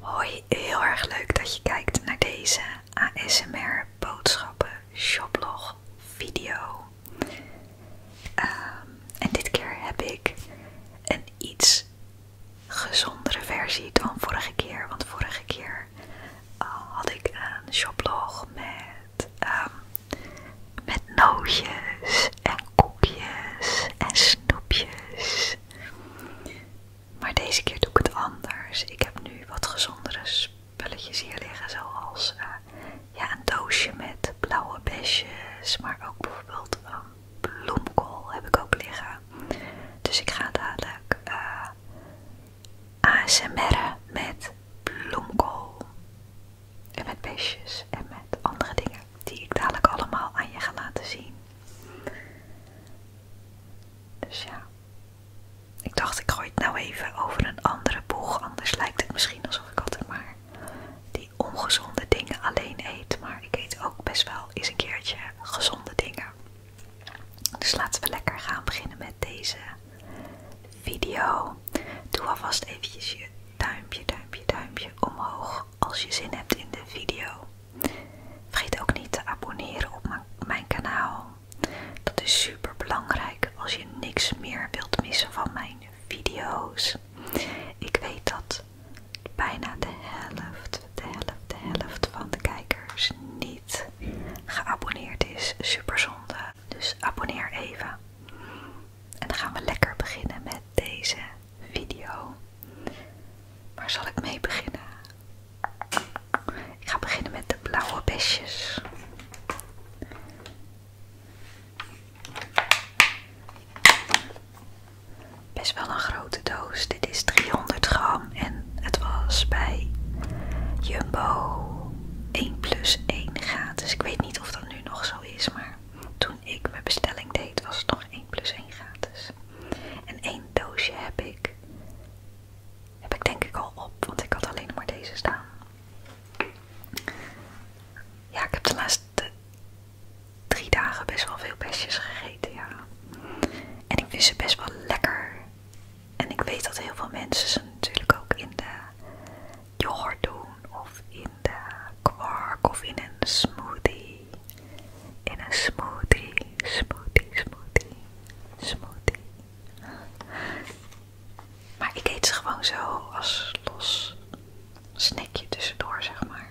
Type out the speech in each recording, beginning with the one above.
Hoi, heel erg leuk dat je kijkt naar deze ASMR boodschappen shoplog video. Ehm, en dit keer heb ik een iets gezondere versie dan vorige keer, want vorige keer eh, had ik een shoplog met, ehm, met nootjes en koekjes en snoepjes. Maar deze keer doe ik het anders. Ik heb nu wat gezondere spulletjes hier liggen, zoals eh, ja, een doosje met blauwe besjes, maar ook bijvoorbeeld een bloemkool heb ik ook liggen. Dus ik ga dadelijk eh, ASMR'en met bloemkool en met besjes en met andere dingen die ik dadelijk allemaal aan je ga laten zien. Dus ja, ik dacht ik gooi het nou even over een andere boeg, anders lijkt het misschien alsof ik altijd maar die ongezonde dingen alleen eet. Maar ik eet ook best wel eens een keertje gezonde dingen. Dus laten we lekker gaan beginnen met deze video. Doe alvast eventjes je duimpje, duimpje, duimpje omhoog als je zin hebt in de video. Vergeet ook niet te abonneren op mijn kanaal. Dat is super belangrijk als je niks meer wilt missen van mijn video's. Ik weet dat bijna de helft, de helft, de helft van de kijkers niet geabonneerd is. Super zonde. Dus abonneer even. En dan gaan we lekker beginnen met deze video. Waar zal ik mee beginnen? Ik ga beginnen met de blauwe besjes. Best wel een grote doos. Dit is 300 gram en het was bij Jumbo 1 plus 1 Dus Ik weet niet of dat nu nog zo is, maar toen ik mijn bestelling deed was het nog nog 1 plus 1 gratis. En één doosje heb ik, heb ik denk ik al op, want ik had alleen maar deze staan. Ja, ik heb de laatste drie dagen best wel veel besjes gegeten, ja. En ik vind ze best wel lekker. En ik weet dat heel veel mensen ze natuurlijk ook in de yoghurt doen, of in de kwark, of in een smoothie in een smoothie, smoothie, smoothie, smoothie. Maar ik eet ze gewoon zo als los snikje tussendoor, zeg maar.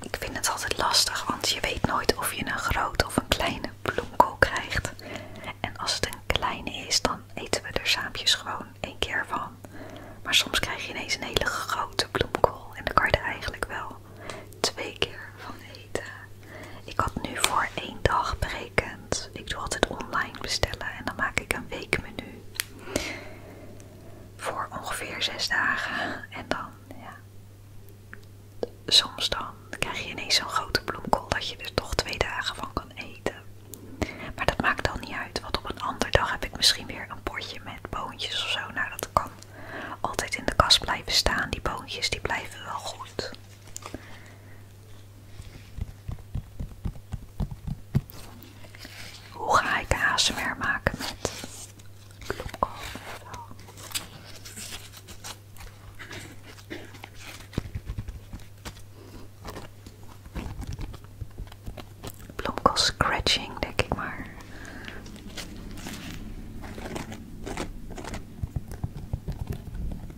Ik vind het altijd lastig, want je weet nooit of je een grote of een kleine bloemkool krijgt. En als het een kleine is, dan eten we er saampjes gewoon één keer van. Maar soms krijg je ineens een hele grote bloemkool en dan kan je er eigenlijk wel twee keer van eten. Ik had nu voor één dag berekend. Ik doe altijd online bestellen en dan maak ik een weekmenu voor ongeveer zes dagen. En dan, ja. Soms dan krijg je ineens zo'n grote bloemkool dat je er toch twee dagen van kan eten. Maar dat maakt dan niet uit, want op een andere dag heb ik misschien weer een potje met boontjes of zo. Nou, dat kan altijd in de kast blijven staan. Die boontjes die blijven wel goed. Hoe ga ik ASMR maken met bloemkool? scratching, denk ik maar.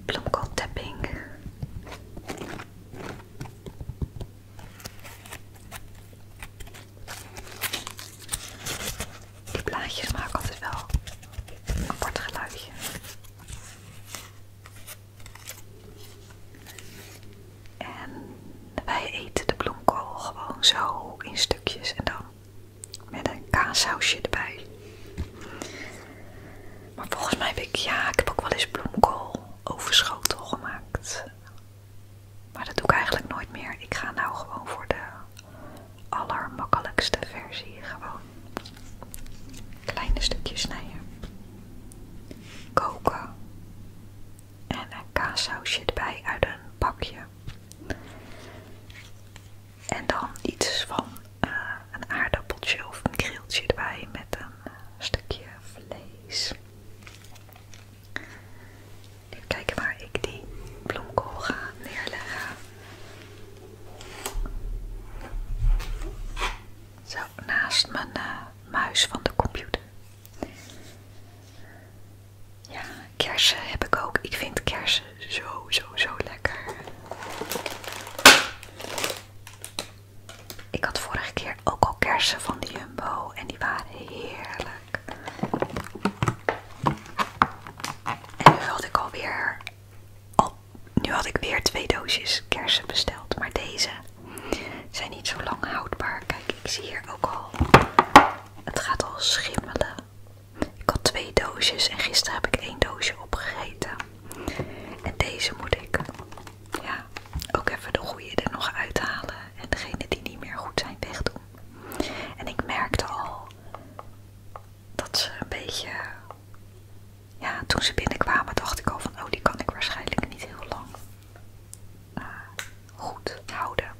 Bloemkool tapping. Die blaadjes maken altijd wel een apart geluidje. En wij eten de bloemkool gewoon zo in stukjes en dan met een kaasausje erbij. Maar volgens mij heb ik, ja, ik heb ook wel eens bloemkool overschotel gemaakt. Maar dat doe ik eigenlijk nooit meer. Ik ga nou gewoon voor de allermakkelijkste versie. Gewoon kleine stukjes snijden. Koken. En een kaassausje erbij uit een pakje. En dan iets van eh, een aardappeltje of een grilltje erbij met een eh, stukje vlees. Even kijken waar ik die bloemkool ga neerleggen. Zo, naast mijn eh, muis van de computer. Ja, kersen heb ik ook. Ik vind kersen zo, zo, zo lekker. Ik had vorige keer ook al kersen van de Jumbo en die waren heerlijk. En nu had ik alweer, nu had ik weer twee doosjes kersen besteld, maar deze zijn niet zo lang houdbaar. Kijk, ik zie hier ook al, het gaat al schimmelen. Ik had twee doosjes en gisteren heb ik één doosje opgegeten. En deze moet ik ja, ook even de goede er nog uithalen en degene die niet meer goed zijn wegdoen. En ik merkte al dat ze een beetje, ja, toen ze binnenkwamen dacht ik al van, oh die kan ik waarschijnlijk niet heel lang eh, goed houden.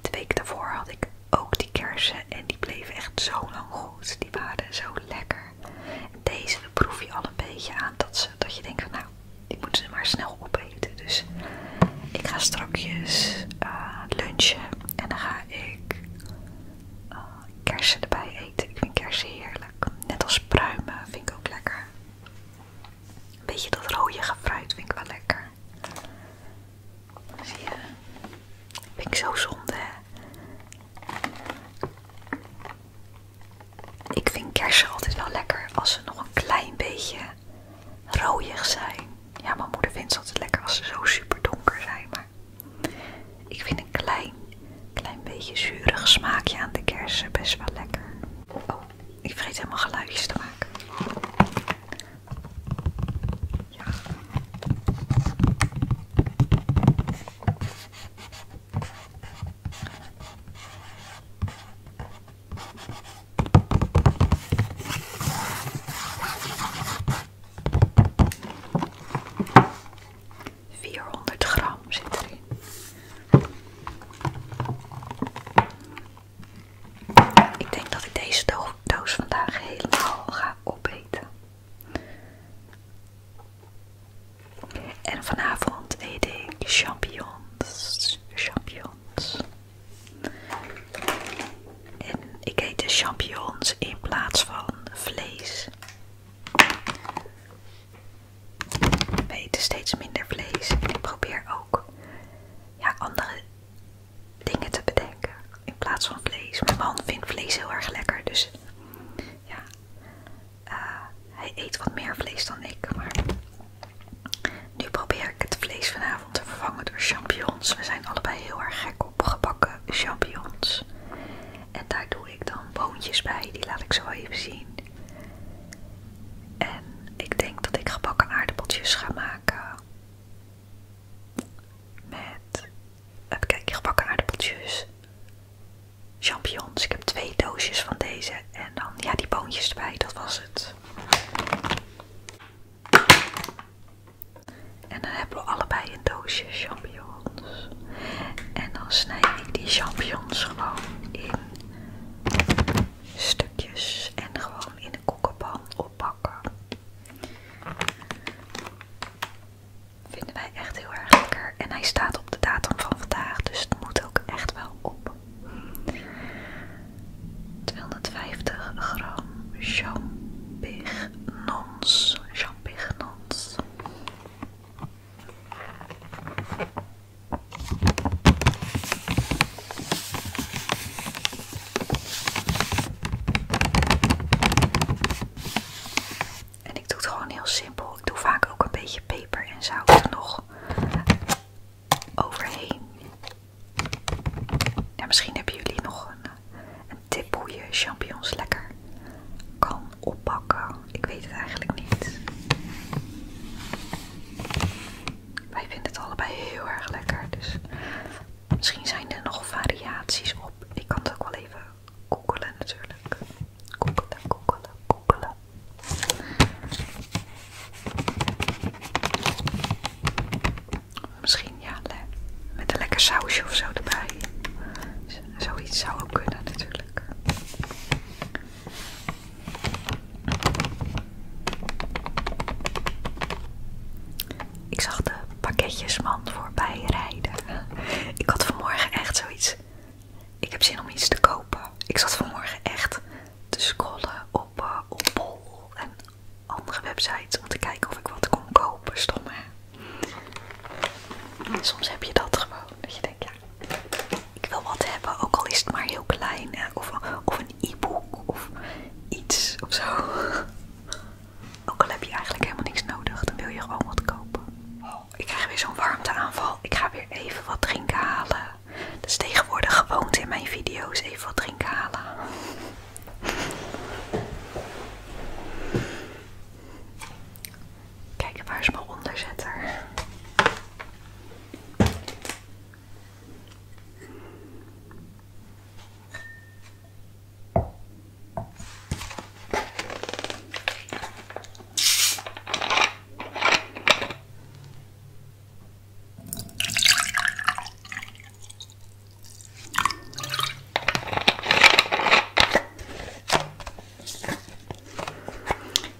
De week daarvoor had ik ook die kersen en die bleven echt zo lang goed. Die waren zo lekker. deze proef je al een beetje aan dat ze dat je denkt van nou, ik moet ze maar snel opeten. Dus ik ga strakjes eh, lunchen en dan ga ik eh, kersen erbij eten. Ik vind kersen heerlijk. Net als pruimen vind ik ook lekker. Een beetje dat rode gefruit vind ik wel lekker. Zie je? Vind ik zo zonde. Ik vind kersen altijd wel lekker als ze nog een klein beetje rooiig zijn. Ja, mijn moeder vindt ze altijd lekker als ze zo super donker zijn. Maar ik vind een klein, klein beetje zuurig smaakje aan de kersen best wel lekker. Oh, ik vergeet helemaal geluidjes te maken. Ja. 400 gram zit erin. Ik denk dat ik deze doos vandaag helemaal ga opeten. En vanavond eet ik champignons. Champignons. En ik eet de champignons in plaats van vlees. Ik eten steeds minder vlees en ik probeer ook ja, andere dingen te bedenken in plaats van vlees. Mijn man vindt vlees heel erg lekker, dus ja, eh, hij eet wat meer vlees dan ik, maar nu probeer ik het vlees vanavond te vervangen door champignons. We zijn allebei heel erg gek op gebakken champignons. En daar doe ik dan boontjes bij, die laat ik zo even zien. En ik denk dat ik gebakken aardappeltjes ga maken. Met, kijk, gebakken aardappeltjes, champignons. Ik heb twee doosjes van deze en dan, ja, die boontjes erbij, dat was het. En dan hebben we allebei een doosje champignons. En dan snij ik die champignons gewoon in stukjes en gewoon in de kookpan oppakken. Vinden wij echt heel erg lekker. En hij staat op de datum van vandaag, dus het moet ook echt wel op. 250 gram champignons. Champignons. En ik doe het gewoon heel simpel. Ik doe vaak ook een beetje peper en zout er nog overheen. Ja, misschien hebben jullie nog eh, een, tip hoe je champignons lekker kan oppakken. Ik weet het eigenlijk niet. Wij vinden het allebei heel erg lekker. Dus misschien zijn er nog variaties op. Ik kan het ook wel even koekelen natuurlijk. Koekelen, koekelen, koekelen. Misschien ja, met een lekker sausje of zo erbij. Zoiets zou ook kunnen natuurlijk. Ik zag de pakketjesman voorbij rijden. Ik had vanmorgen echt zoiets. Ik heb zin om iets te kopen. Ik zat vanmorgen echt te scrollen op eh, op Bol en andere websites om te kijken of ik wat kon kopen. Stom hè? soms heb je dat gewoon. Dat je denkt, ja, ik wil wat hebben, ook al is het maar heel klein. Of, een e-book of iets of zo. Ook al heb je eigenlijk helemaal niks nodig, dan wil je gewoon wat kopen. ik krijg weer zo'n warmteaanval. Ik ga weer even wat drinken halen. Dat is tegenwoordig gewoonte in mijn video's even wat drinken halen. Kijk, waar is mijn onderzetter?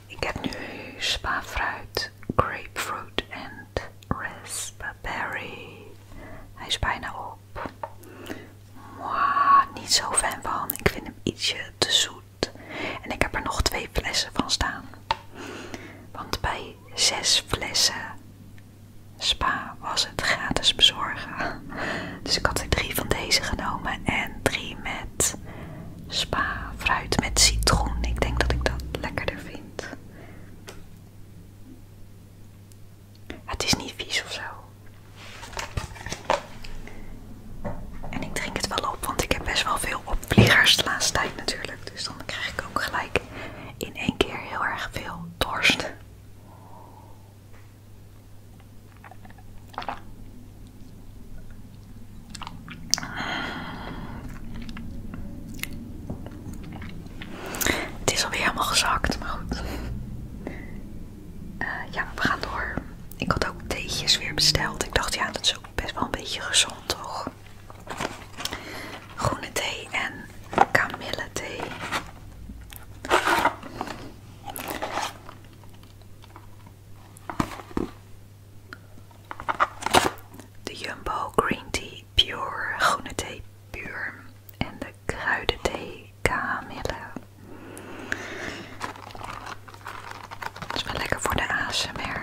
Ik heb nu spa-fruit, grapefruit en raspberry. Hij is bijna op. Mwah, niet zo fan van. Ik vind hem ietsje te zoet. En ik heb er nog twee flessen van staan. Want bij zes flessen. Spa was het gratis bezorgen. Dus ik had er drie van deze genomen en drie met spa fruit met citroen. Ik denk dat ik dat lekkerder vind. Het is niet vies of zo. En ik drink het wel op, want ik heb best wel veel opvliegers de laatste tijd natuurlijk. Dus- dus krijg ik ook gelijk in één keer heel erg veel dorst. Het is alweer helemaal gezakt, maar goed. Eh, ja, we gaan door. Ik had ook theetjes weer besteld. Ik dacht, ja, dat is ook best wel een beetje gezond, toch? groene thee en kamille thee. De Jumbo Green Tea Pure, groene thee puur en de kruidenthee kamille. is wel lekker voor de ASMR.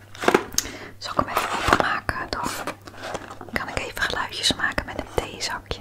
Zal ik hem even openmaken? Dan kan ik even geluidjes maken met een theezakje.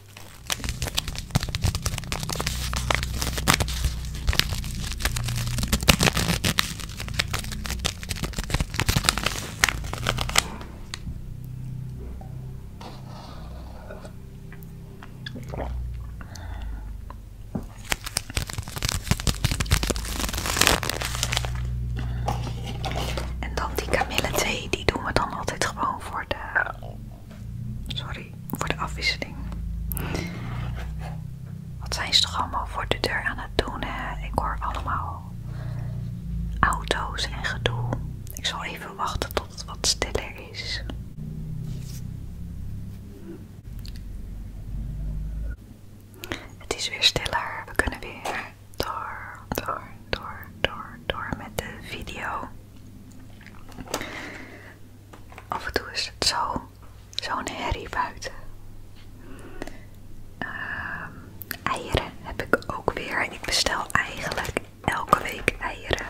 En dan die kamille thee, die doen we dan altijd gewoon voor de Sorry voor de afwisseling. Wat zijn ze toch allemaal voor de deur aan het doen, Ik hoor allemaal auto's en gedoe. Ik zal even wachten tot het wat stiller is. Het is weer stiller. We kunnen weer door, door, door, door met de video. Af en toe is het zo, zo'n herrie buiten. Ehm, eieren heb ik ook weer. Ik bestel eigenlijk elke week eieren.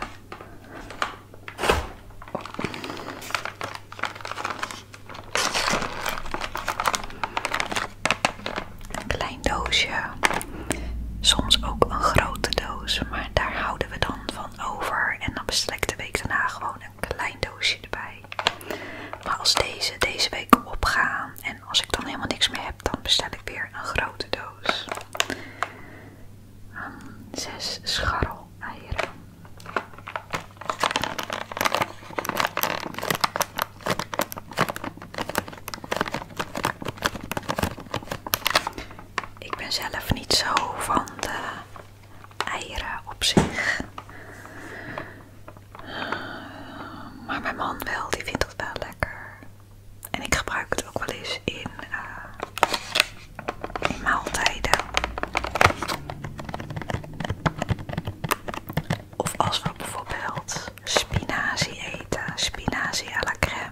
Een klein doosje. Soms ook een grote doos, maar daar houden we dan van over. En dan bestel ik de week daarna gewoon een klein doosje erbij. Maar als deze deze week opgaan en als ik dan helemaal niks meer heb, dan bestel ik weer een grote doos. Ehm, zes scharrel eieren. Ik ben zelf niet zo van de eieren op zich. Maar mijn man wel, die vindt het wel lekker. En ik gebruik het ook wel eens eh, in, maaltijden. Of als we bijvoorbeeld spinazie eten, spinazie à la crème.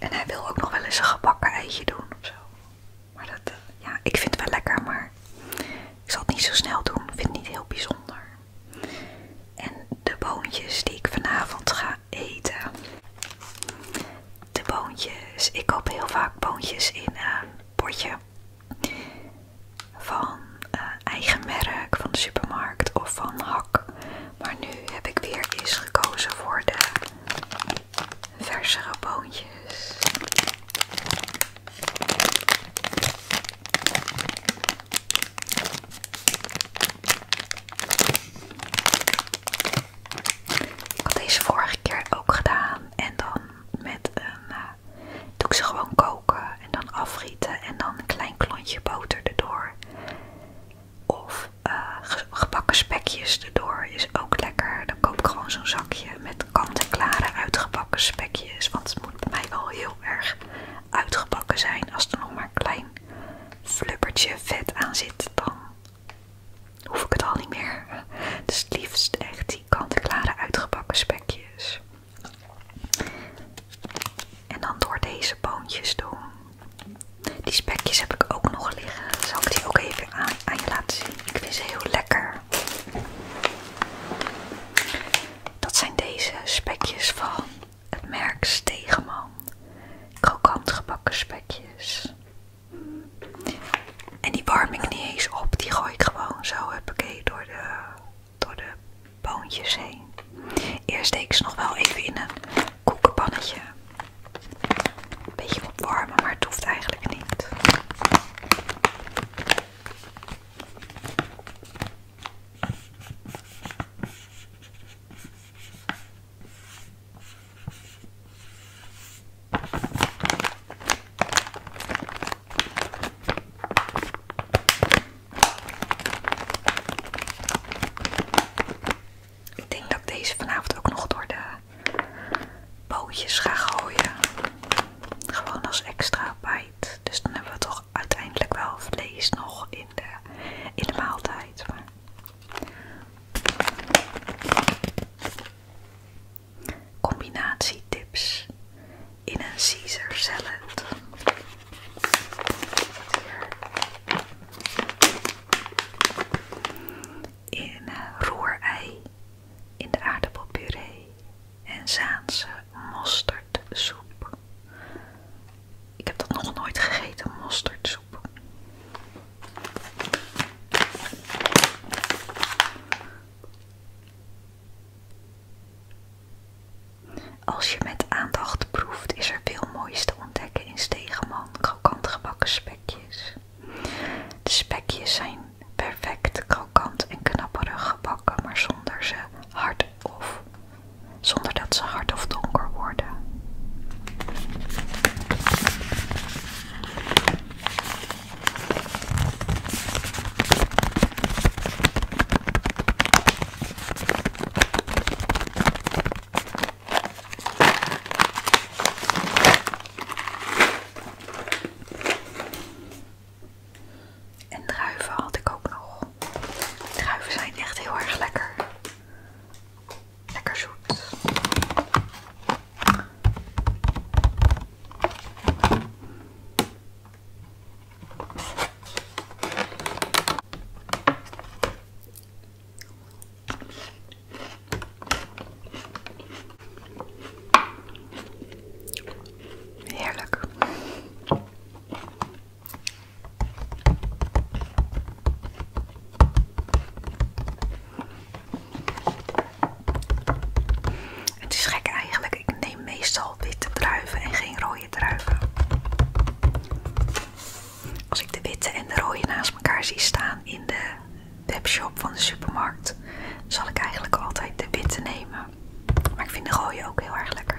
En hij wil ook nog wel eens een gebakken eitje doen ofzo. Maar dat, eh, ja, ik vind het wel lekker, maar ik zal het niet zo snel doen. Vindt vind het niet heel bijzonder. En de boontjes die ik vanavond ga eten. De boontjes. Ik koop heel vaak boontjes in eh, een potje van eh, eigen merk van de supermarkt of van hak. Maar nu heb ik weer eens gekozen voor de versere boontjes. Ik had deze vorige keer ook gedaan en dan met een eh, doe ik ze gewoon koken en dan afrieten en dan een klein klontje boter erdoor. Of uh, gebakken spekjes erdoor is ook lekker. Dan koop ik gewoon zo'n zakje met kant-en-klare uitgebakken spekjes. Want het moet bij mij wel heel erg uitgebakken zijn. Als er nog maar een klein flubbertje vet aan zit, dan hoef ik het al niet meer. Dus het liefst echt kant klare uitgebakken spekjes. En dan door deze boontjes doen. Die spekjes heb ik ook nog liggen. Zal ik die ook even aan, je laten zien? Ik vind ze heel lekker. Dat zijn deze spekjes van het merk Stegenman Krokant gebakken spekjes. En die warm ik niet eens op, die gooi ik gewoon zo, huppakee, door de, door de poontjes heen. Eerst deed ik ze nog wel even in een koekenpannetje. Een beetje opwarmen, maar het hoeft eigenlijk niet. Ik denk dat ik deze vanavond ook nog door de pootjes ga gooien. Gewoon als extra bite. Dus dan hebben we toch uiteindelijk wel vlees nog in de, in de maaltijd. Maar combinatietips in een Caesar salad. In eh, roerei, in de aardappelpuree en Zaanse mosterdsoep. Ik heb dat nog nooit gegeten, mosterdsoep. Als je met aandacht proeft, is er veel moois te ontdekken in Stegenman, krokant gebakken spekjes. De spekjes zijn perfect krokant en knapperig gebakken, maar zonder ze hard of zonder dat ze hard of donker worden. En druiven had ik ook nog. Druiven zijn echt heel erg lekker. Lekker zoet. Heerlijk. Het is gek eigenlijk. Ik neem meestal witte druiven en geen rode druiven. Als ik de witte en de rode naast elkaar zie staan in de webshop van de supermarkt, zal ik eigenlijk altijd de witte nemen. Maar ik vind de rode ook heel erg lekker.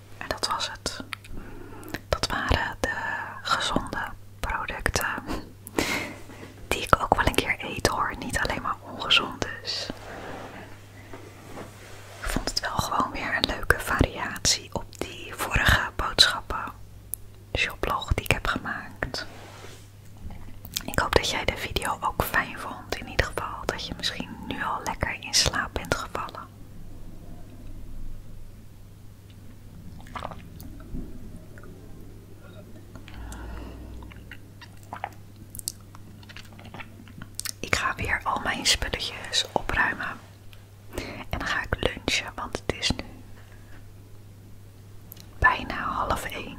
En dat was het. Dat waren de gezonde producten. Die ik ook wel een keer eet hoor. Niet alleen maar ongezond dus. Ik vond het wel gewoon weer een leuke variatie op die vorige boodschappen shoplog die ik heb gemaakt. Ik hoop dat jij de video ook fijn vond in ieder geval dat je misschien nu al lekker in slaap bent gevallen. Ik ga weer al mijn spulletjes opruimen en dan ga ik lunchen, want het is nu bijna half één.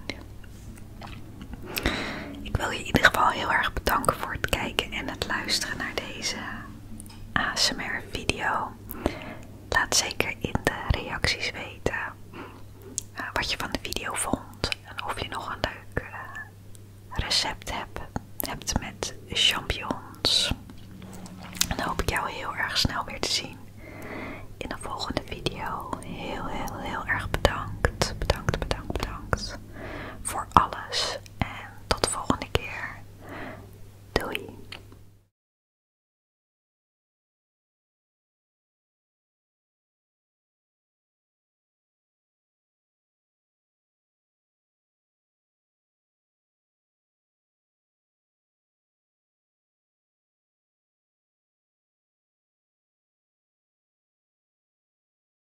Ik wil je in ieder geval heel erg bedanken voor het kijken en het luisteren naar deze ASMR video. Laat zeker in de reacties weten eh, wat je van de video vond en of je nog een leuk eh, recept hebt, hebt met champignons. En dan hoop ik jou heel erg snel weer te zien in de volgende video. Heel, heel, heel erg bedankt. Bedankt, bedankt, bedankt voor alles en tot de volgende keer. Doei!